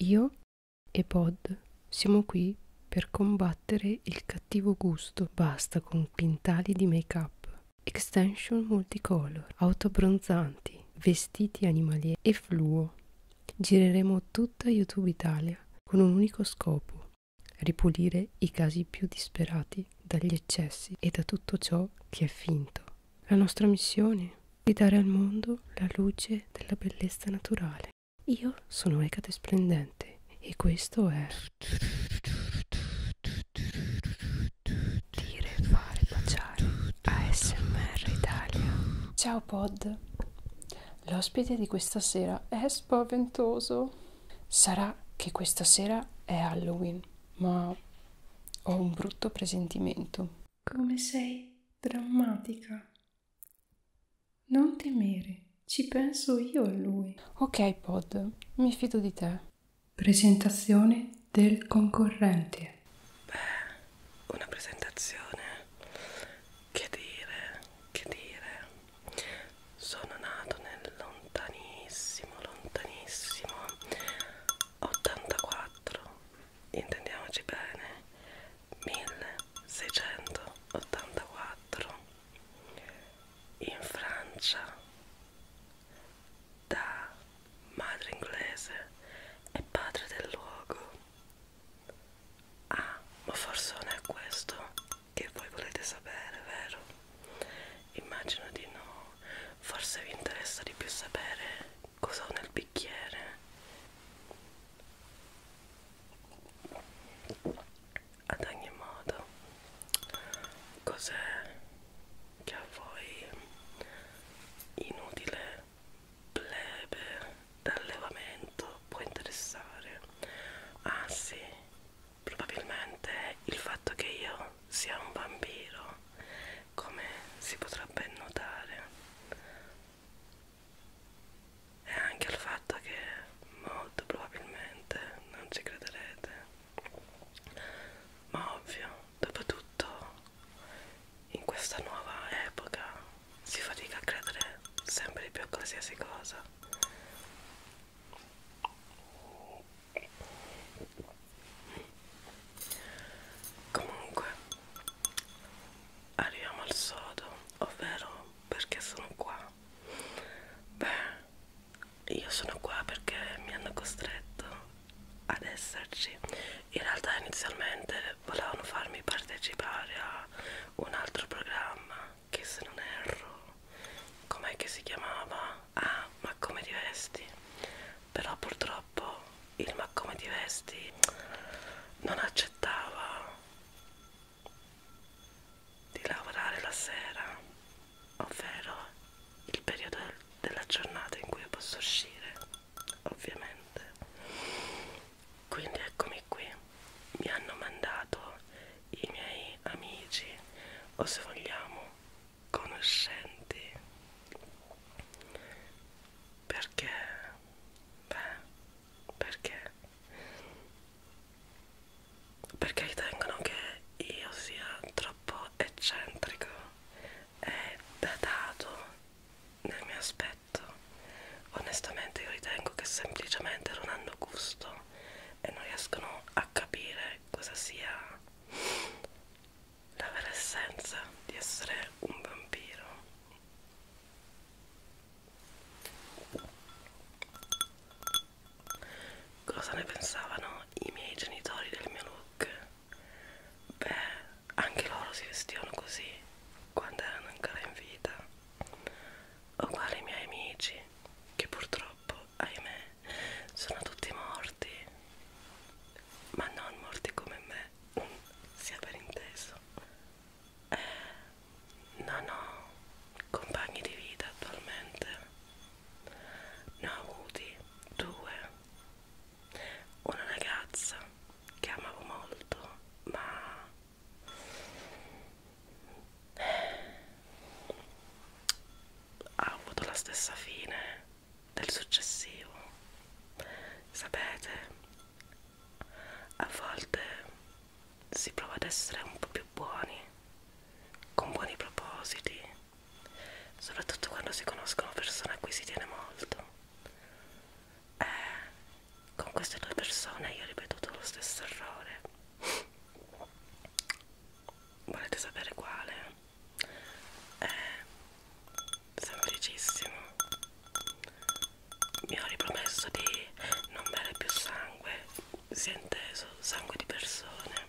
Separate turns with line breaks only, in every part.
Io e Pod siamo qui per combattere il cattivo gusto. Basta con quintali di make-up, extension multicolor, autobronzanti, vestiti animalieri e fluo. Gireremo tutta YouTube Italia con un unico scopo, ripulire i casi più disperati dagli eccessi e da tutto ciò che è finto. La nostra missione di dare al mondo la luce della bellezza naturale. Io sono Ecate Splendente e questo è... Dire, fare, baciare. ASMR Italia. Ciao Pod. L'ospite di questa sera è spaventoso. Sarà che questa sera è Halloween, ma ho un brutto presentimento. Come sei drammatica. Non temere, ci penso io a lui. Ok, Pod, mi fido di te. Presentazione del concorrente. Beh, una presentazione.
Che dire, che dire. Sono nato nel lontanissimo, lontanissimo 84. Intendiamoci bene. 1684 in Francia da madre inglese e padre del luogo ah ma forse non è questo che voi volete sapere vero? immagino di no forse vi interessa di più sapere cosa ho nel bicchiere ad ogni modo cos'è che a voi inutile plebe d'allevamento può interessare ah sì probabilmente il fatto che io sia un bambino come si potrebbe notare e anche al fatto che molto probabilmente non ci crederete ma ovvio dopo tutto in questa nuova epoca si fatica a credere sempre di più a qualsiasi cosa comunque arriviamo al sodo, ovvero perché sono qua. Beh, io sono qua perché mi hanno costretto ad esserci. In realtà inizialmente volevano farmi partecipare a un altro programma che se non erro, com'è che si chiamava? Ah, ma come ti vesti? Però purtroppo troppo il ma come ti vesti non accettava di lavorare la sera ovvero il periodo della giornata in cui posso uscire ovviamente quindi eccomi qui mi hanno mandato i miei amici o se vogliamo conoscenti perché Beh, perché? Perché ritengono che io sia troppo eccentrico e datato nel mio aspetto. Onestamente io ritengo che semplicemente non hanno gusto e non riescono a capire cosa sia la vera essenza di essere un vampiro Cosa ne pensavano i miei genitori del mio look? Beh, anche loro si vestivano così quando erano ancora in vita. Uguali i miei amici, che purtroppo, ahimè, sono tutti morti. Ma non morti come me, sia per inteso eh, non ho compagni di vita attualmente ne ho avuti due una ragazza che amavo molto ma ha avuto la stessa fine del successivo sapete a volte si prova ad essere un po' più buoni, con buoni propositi, soprattutto quando si conoscono persone a cui si tiene molto. E eh, con queste due persone io ho ripetuto lo stesso errore. Volete sapere quale? Eh, semplicissimo mi ho ripromesso di non bere più sangue si è inteso sangue di persone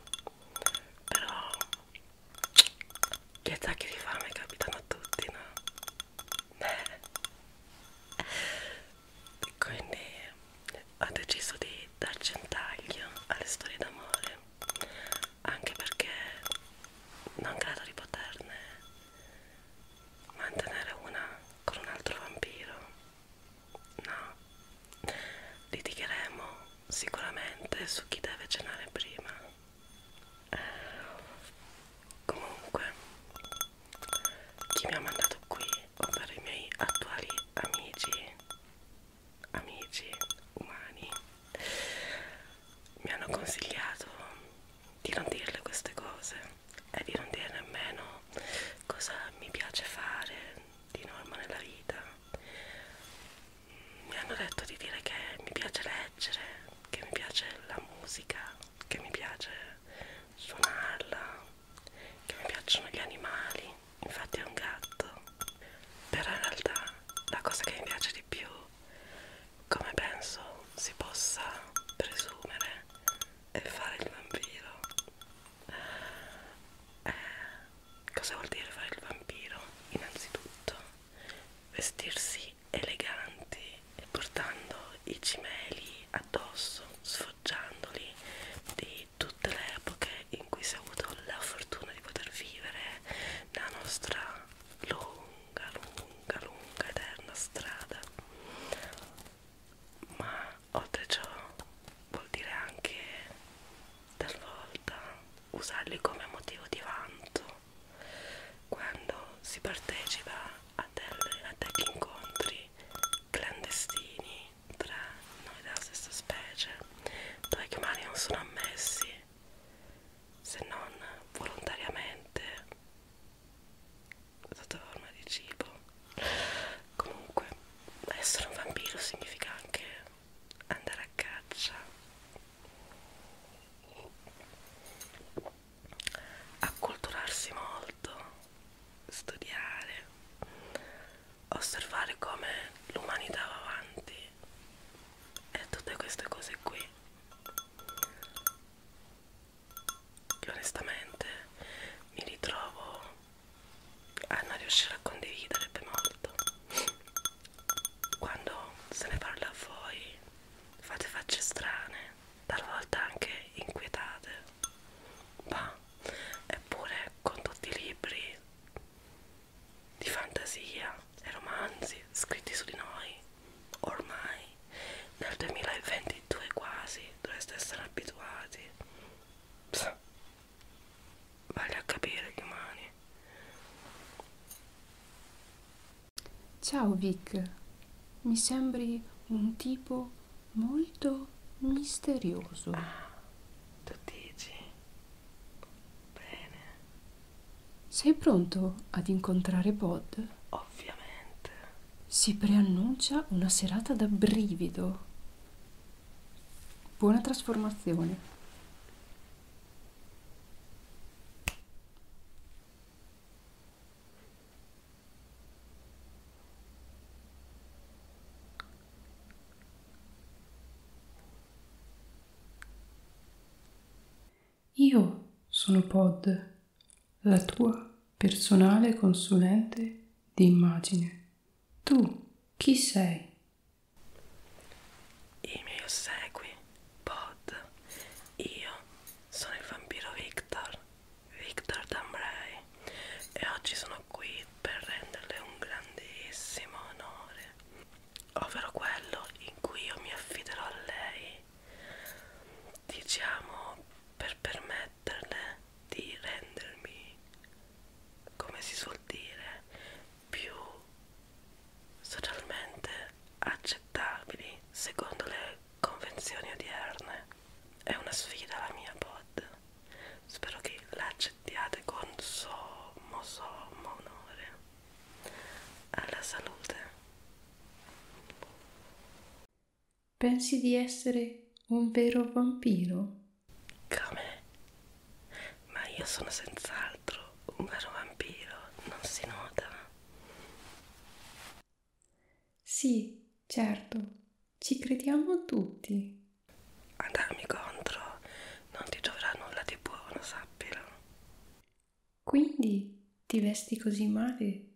però gli attacchi di fame capitano a tutti no? Eh. quindi ho deciso di darci un taglio alle storie d'amore anche perché non credo di poterne mantenere una con un altro vampiro no litigheremo sicuramente su chi deve cenare prima comunque chi mi ha mandato qui ovvero i miei attuali amici amici umani mi hanno consigliato di non dirle queste cose e di non dire nemmeno cosa mi piace fare di norma nella vita. Mi hanno detto di dire che mi piace leggere, che mi piace la musica, che mi piace suonarla, che mi piacciono gli animali, infatti è un gatto. Però in realtà la cosa che mi piace di più come penso si possa presumere e fare il vampiro eh, cosa vuol dire fare il vampiro? innanzitutto vestirsi eleganti e portando i cimeli addosso sfoggiandoli di tutte le epoche in cui si è avuto la fortuna di poter vivere la nostra lunga lunga, lunga, lunga, eterna strada, ma oltre ciò vuol dire anche talvolta usarli come motivo di vanto quando si partecipa a, delle, a degli incontri clandestini tra noi della stessa specie dove gli umani non sono ammessi se non volontariamente sotto forma di cibo comunque essere un vampiro significa anche andare a caccia acculturarsi molto studiare osservare come l'umanità va avanti e tutte queste cose qui che onestamente mi ritrovo a non riuscire a condividere per molto quando se ne parla a voi fate facce strane talvolta anche inquietate ma eppure con tutti i libri di fantasia e romanzi scritti su di noi ormai nel 2022 quasi dovreste essere abituati Psa. vale a capire gli umani
ciao Vic mi sembri un tipo molto misterioso ah, tu dici bene sei pronto ad incontrare Bod? Ovviamente. Si preannuncia una serata da brivido. Buona trasformazione. Io sono Pod, la tua personale consulente di immagine. Tu chi sei?
I miei ossequi, Pod. Io sono il vampiro Victor, Victor Dambrei, e oggi sono qui per renderle un grandissimo onore, ovvero quello in cui io mi affiderò a lei diciamo per permetterle di rendermi come si suol dire più socialmente accettabili secondo le convenzioni odierne è una sfida la mia pod spero che l'accettiate con sommo sommo onore alla salute.
Pensi di essere un vero vampiro?
Come? Ma io sono senz'altro un vero vampiro, non si nota.
Sì, certo, ci crediamo tutti.
A darmi contro non ti dovrà nulla di buono, sappilo.
Quindi ti vesti così male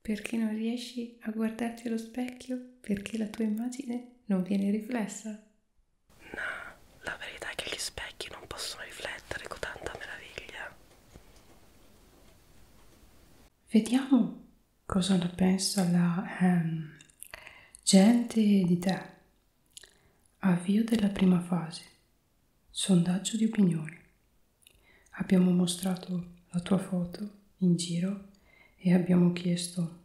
perché non riesci a guardarti allo specchio perché la tua immagine non viene riflessa. No,
la verità è che gli specchi non possono riflettere con tanta meraviglia.
Vediamo cosa ne pensa la ehm, gente di te. Avvio della prima fase. Sondaggio di opinioni. Abbiamo mostrato la tua foto in giro e abbiamo chiesto,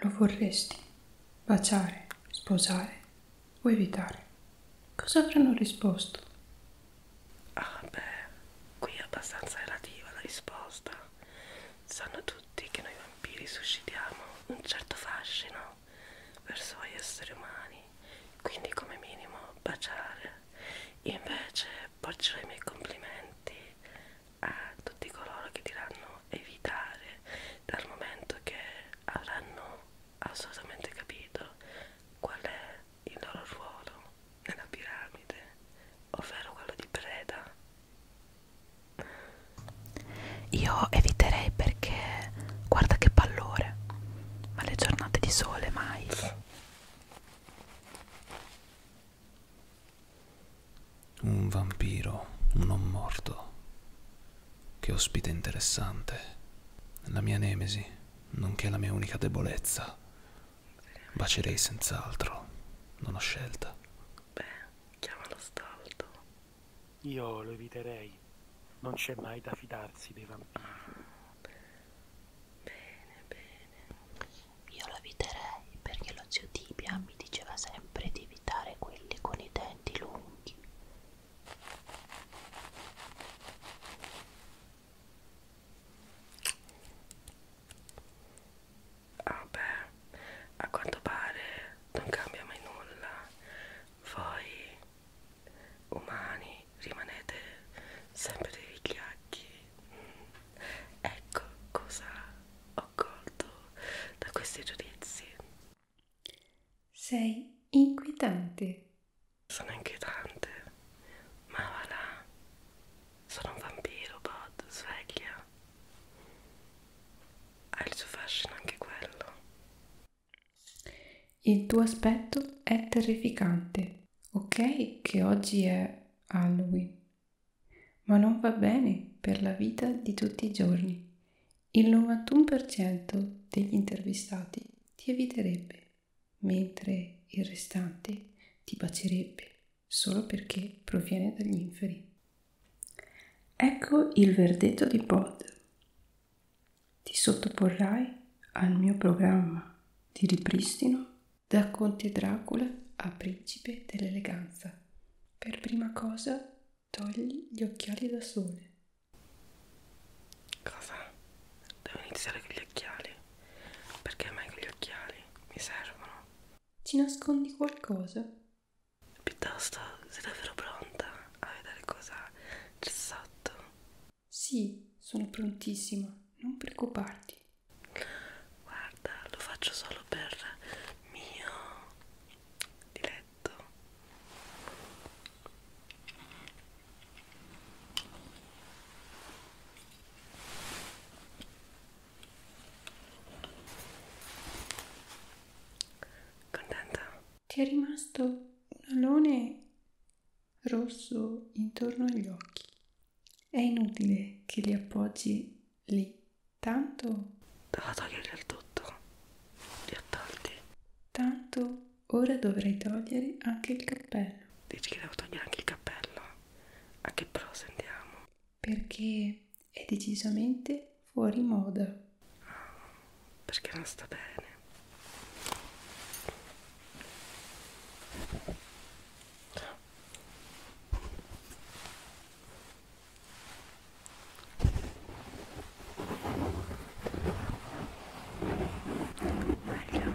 lo vorresti baciare, sposare o evitare? Cosa avranno risposto?
Ah beh, qui è abbastanza relativa la risposta. Sanno tutti che noi vampiri suscitiamo un certo fascino verso gli esseri umani quindi come minimo baciare invece porgerò i miei complimenti a tutti coloro che diranno evitare dal momento che avranno assolutamente capito qual è il loro ruolo nella piramide ovvero quello di preda io eviterei perché guarda che pallore ma le giornate di sole mai.
Un vampiro, un non morto. Che ospite interessante. La mia nemesi, nonché la mia unica debolezza. Bacerei senz'altro, non ho scelta. Beh, chiama lo
staldo. Io lo eviterei. Non c'è mai da fidarsi dei vampiri. Bene, bene. Io lo eviterei perché lo zio Tibia mi diceva sempre di evitare quelli con i denti lunghi. Vabbè, ah a quanto pare non cambia mai nulla. Voi umani rimanete sempre dei vigliacchi ecco cosa ho colto da questi giudizi sei inquietante sono inquietante ma va là sono un vampiro Bod sveglia ha il suo fascino
anche quello il tuo aspetto è terrificante. Ok che oggi è Halloween, ma non va bene per la vita di tutti i giorni. Il 91% degli intervistati ti eviterebbe, mentre il restante ti bacerebbe solo perché proviene dagli inferi. Ecco il verdetto di Pod ti sottoporrai al mio programma di ripristino da Conte Dracula a Principe dell'Eleganza. Per prima cosa togli gli occhiali da sole.
Cosa? Devo iniziare con gli occhiali? Perché mai con gli occhiali? Mi servono.
Ci nascondi qualcosa?
Piuttosto sei davvero
pronta a vedere cosa c'è sotto? Sì, sono prontissima, non preoccuparti. Guarda, lo faccio solo per
mio diletto.
Contenta? Ti è rimasto un alone rosso intorno agli occhi. È inutile che li appoggi lì, tanto... Devo toglierli al tutto, li ho tolti. Tanto ora dovrai togliere anche il cappello. Dici che devo togliere anche il cappello? A che pro sentiamo? Perché è decisamente fuori moda perché non sta bene meglio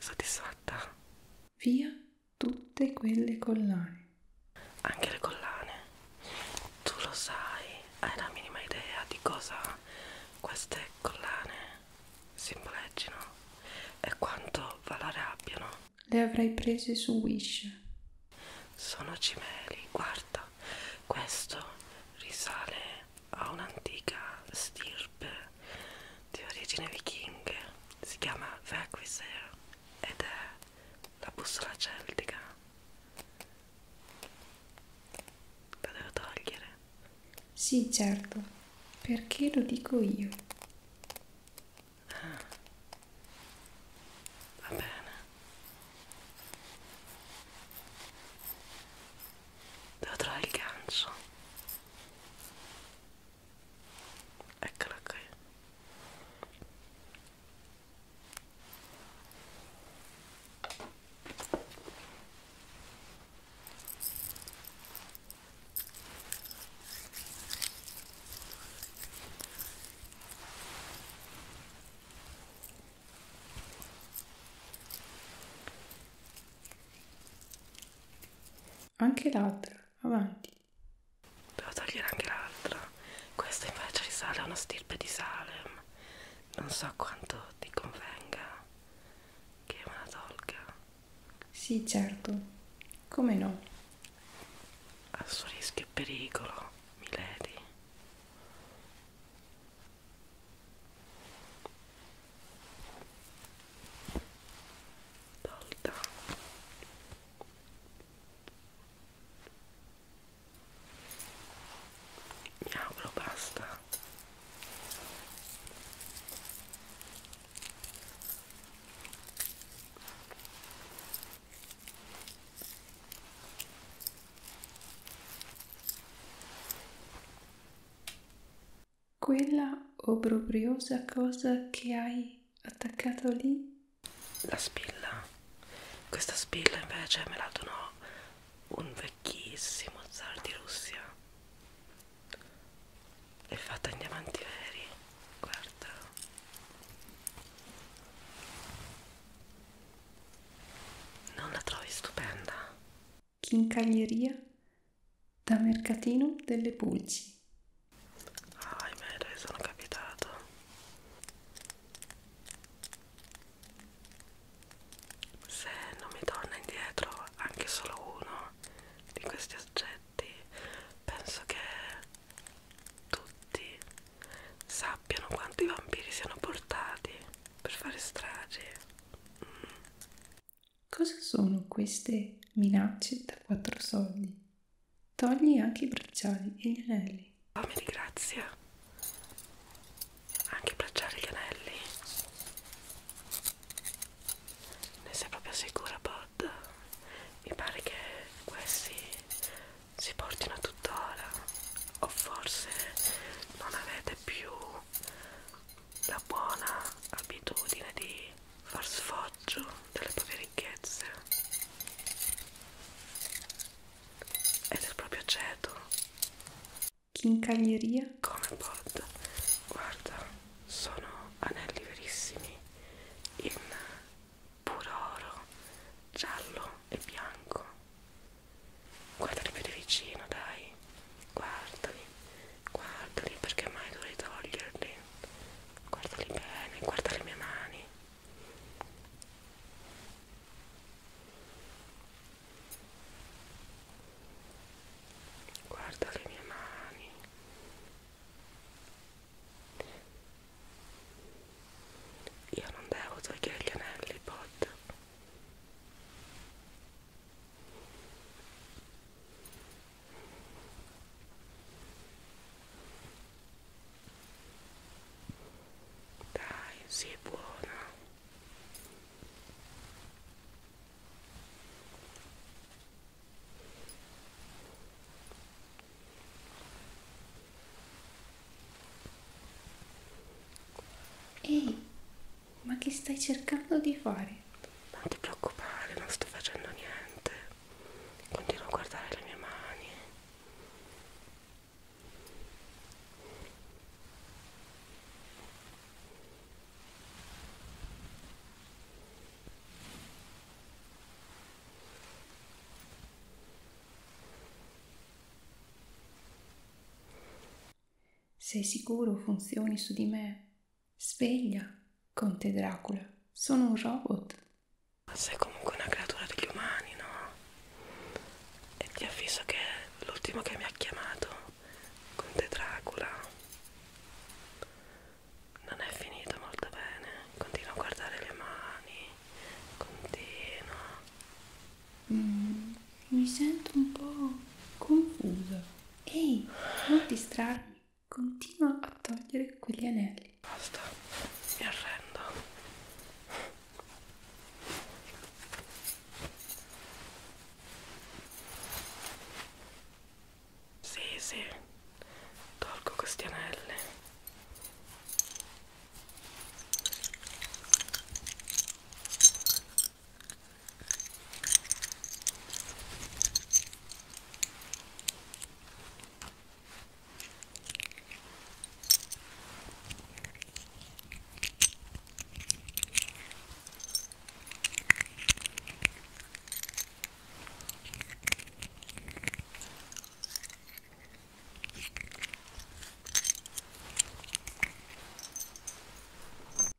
Soddisfatta?
Via tutte quelle collane anche le collane
tu lo sai hai la minima idea di cosa queste collane simboleggino e quanto valore abbiano
le avrei prese su wish
sono cimeli guarda questo risale a un'antica stirpe di origine vichinghe si chiama Vegviser ed è la bussola celtica
lo devo togliere? Sì, certo, perché lo dico io. Ah. Va bene.
Devo trovare il gancio. Eccolo qui.
Anche l'altra, avanti
devo togliere anche l'altra questa invece risale a una stirpe di Salem non so quanto ti convenga
che me la tolga sì certo come no
al suo rischio e pericolo Milady tolta mi auguro basta
quella obbrobriosa cosa che hai attaccato lì
la spilla questa spilla invece me la donò un vecchissimo zar di Russia è fatta in diamanti veri guarda non la trovi stupenda
chincaglieria da mercatino delle pulci ahimè dove sono capitato
se non mi torna indietro anche solo uno di questi oggetti penso che tutti sappiano quanto i vampiri siano portati per fare stragi
mm. cosa sono queste minacce da quattro soldi Togli anche i bracciali e gli anelli. Oh, mi
ringrazia. Anche i bracciali e gli anelli. Ne sei proprio sicura, Bod? Mi pare che questi si portino tuttora. O forse non avete più la buona abitudine di far sfoggio delle proprie ricchezze ed è proprio aceto
chincaglieria come pot
guarda sono anelli verissimi in puro oro giallo e bianco guardali più di vicino dai guardali guardali perché mai dovrei toglierli guardali bene guarda le mie mani Guarda le mie mani. Io non devo togliere gli anelli, pot. Dai, si è buona.
Ehi, ma che stai cercando di fare? Non ti
preoccupare, non sto facendo niente. Continuo a guardare le mie mani.
Sei sicuro funzioni su di me? Sveglia, Conte Dracula, sono un robot. Sei comunque
una creatura degli umani, no? E ti avviso che l'ultimo che mi ha chiamato con te Dracula non è finito molto bene. Continua
a guardare le mani, continua. Mm, mi sento un po' confusa. Ehi, non distrarmi. Continua a togliere quegli anelli. Basta,
mi arrendo. Sì, sì, tolgo questi anelli.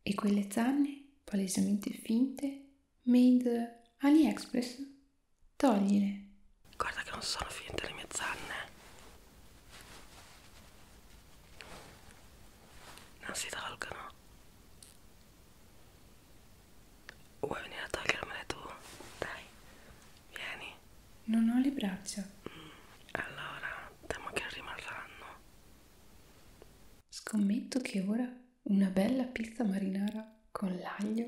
E quelle zanne, palesemente finte, made AliExpress? toglile.
Guarda che non sono finite le mie zanne. Non si tolgono. Vuoi venire a togliermele tu? Dai, vieni. Non ho le braccia. Mm, allora, temo che rimarranno.
Scommetto che ora una bella pizza marinara con l'aglio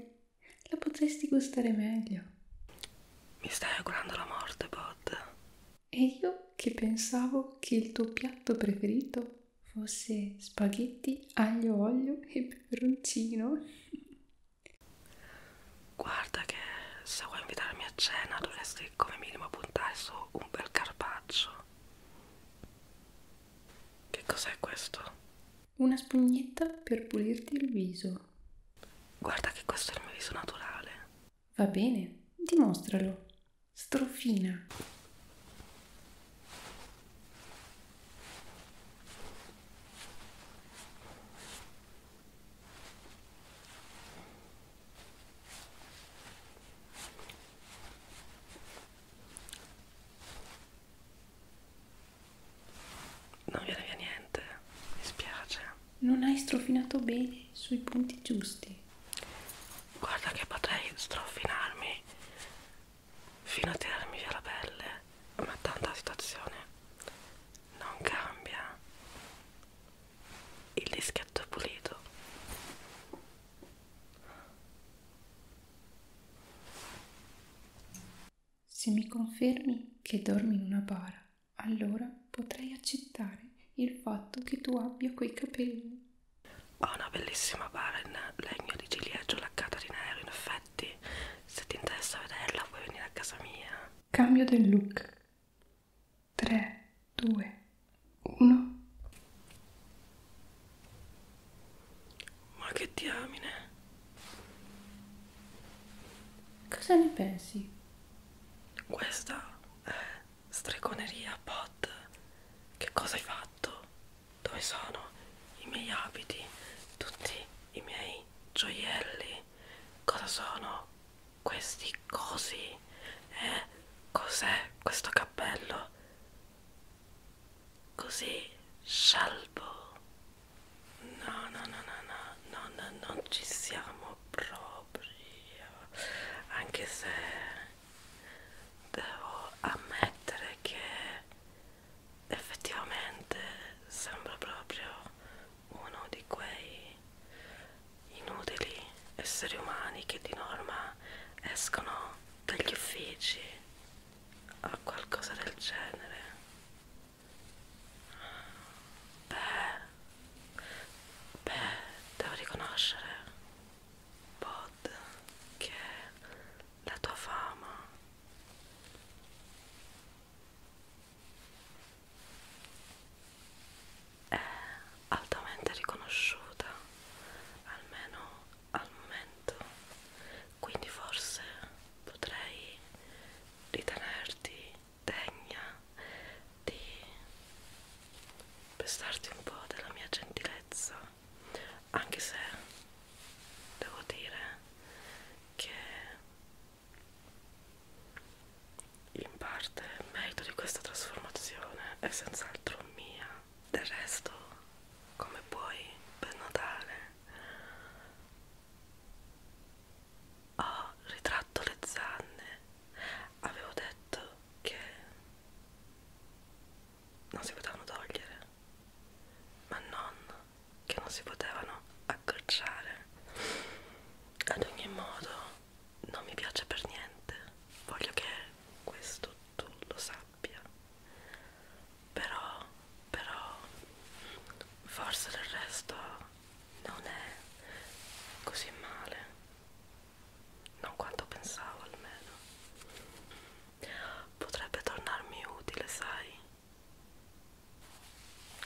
la potresti gustare meglio.
Mi stai augurando la morte, Bod.
E io che pensavo che il tuo piatto preferito fosse spaghetti, aglio, olio e peperoncino.
Guarda che se vuoi invitarmi a cena dovresti come minimo puntare su un bel carpaccio. Che cos'è questo?
Una spugnetta per pulirti il viso.
Guarda che questo è il mio viso naturale.
Va bene, dimostralo. Strofina. Non viene via niente, mi spiace. Non hai strofinato bene sui punti giusti.
Guarda che potrei strofinarmi fino a tirarmi via la pelle, ma tanto la situazione non cambia. Il dischetto è pulito.
Se mi confermi che dormi in una bara, allora potrei accettare il fatto che tu abbia quei capelli.
Ho una bellissima bara in legno di ciliegio laccata di nero, in effetti. Se ti interessa vederla, puoi venire a casa mia.
Cambio del look. 3, 2, 1.
Ma che diamine! Cosa ne pensi? Questa è eh, stregoneria pot. Che cosa hai fatto? Dove sono i miei abiti? Tutti i miei gioielli? Cosa sono questi cosi? Eh, cos'è questo cappello? Così scialbo No, no, no, no, no, no, no, non ci siamo proprio. Anche se devo ammettere che effettivamente sembra proprio uno di quei inutili esseri umani che di norma escono dagli uffici o qualcosa del genere Beh, beh, devo riconoscere, Bod, che la tua fama è altamente riconosciuta, almeno al momento quindi forse potrei ritenerti degna di pestarti un po' della mia gentilezza anche se devo dire che in parte il merito di questa trasformazione è senz'altro mia del resto come puoi ben notare oh, ritratto le zanne avevo detto che non si potevano togliere ma non che non si potevano accorciare ad ogni modo non mi piace per niente voglio che questo tu lo sappia però però forse del resto non è così male non quanto pensavo almeno potrebbe tornarmi utile sai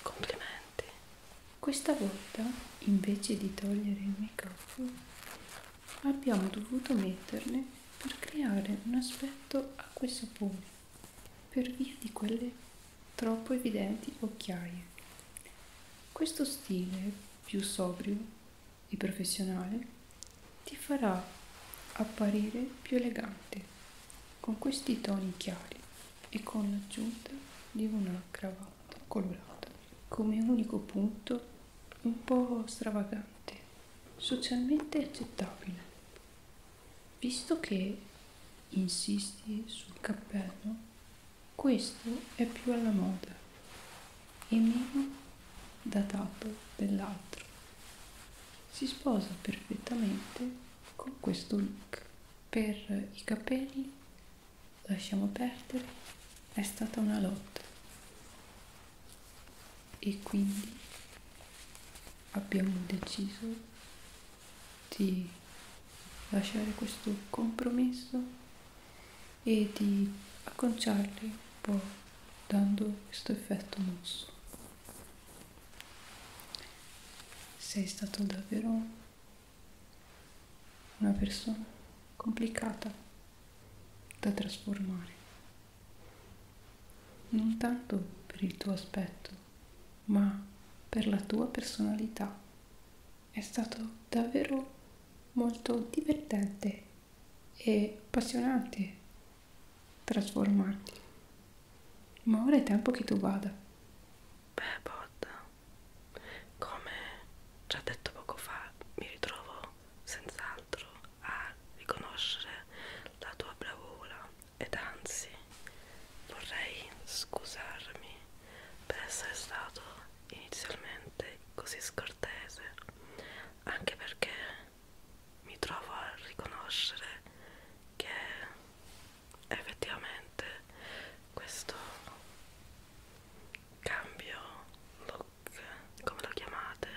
complimenti questa volta invece di togliere il make up abbiamo dovuto metterne per creare un aspetto a questo punto per via di quelle troppo evidenti occhiaie. Questo stile più sobrio e professionale ti farà apparire più elegante con questi toni chiari e con l'aggiunta di una cravatta colorata come unico punto un po' stravagante, socialmente accettabile. Visto che insisti sul cappello, questo è più alla moda e meno datato dell'altro. Si sposa perfettamente con questo look. Per i capelli, lasciamo perdere, è stata una lotta. E quindi abbiamo deciso di lasciare questo compromesso e di acconciarli un po' dando questo effetto mosso. Sei stato davvero una persona complicata da trasformare, non tanto per il tuo aspetto, ma per la tua personalità. È stato davvero molto divertente e appassionante trasformarti. Ma ora è tempo che tu vada. Beh, Botta,
come già detto poco fa, mi ritrovo senz'altro a riconoscere la tua bravura, ed anzi vorrei scusarmi per essere stato inizialmente così scortese anche perché mi trovo a riconoscere che effettivamente questo cambio look come lo chiamate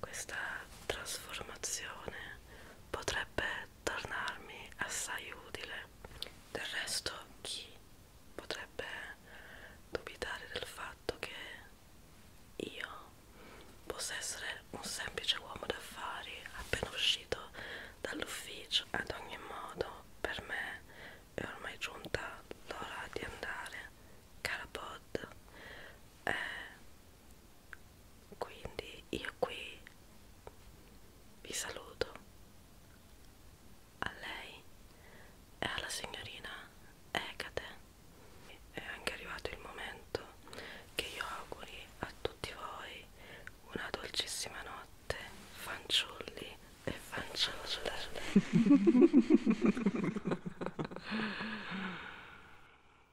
questa trasformazione potrebbe tornarmi assai utile. Del resto chi potrebbe dubitare del fatto che io possa essere un semplice uomo d'affari appena uscito dall'ufficio? Ad ogni modo per me è ormai giunta l'ora di andare. Cara Pod, è quindi io qui vi saluto a lei e alla signorina Ecate è anche arrivato il momento che io auguri a tutti voi una dolcissima notte fanciulli e fanciulle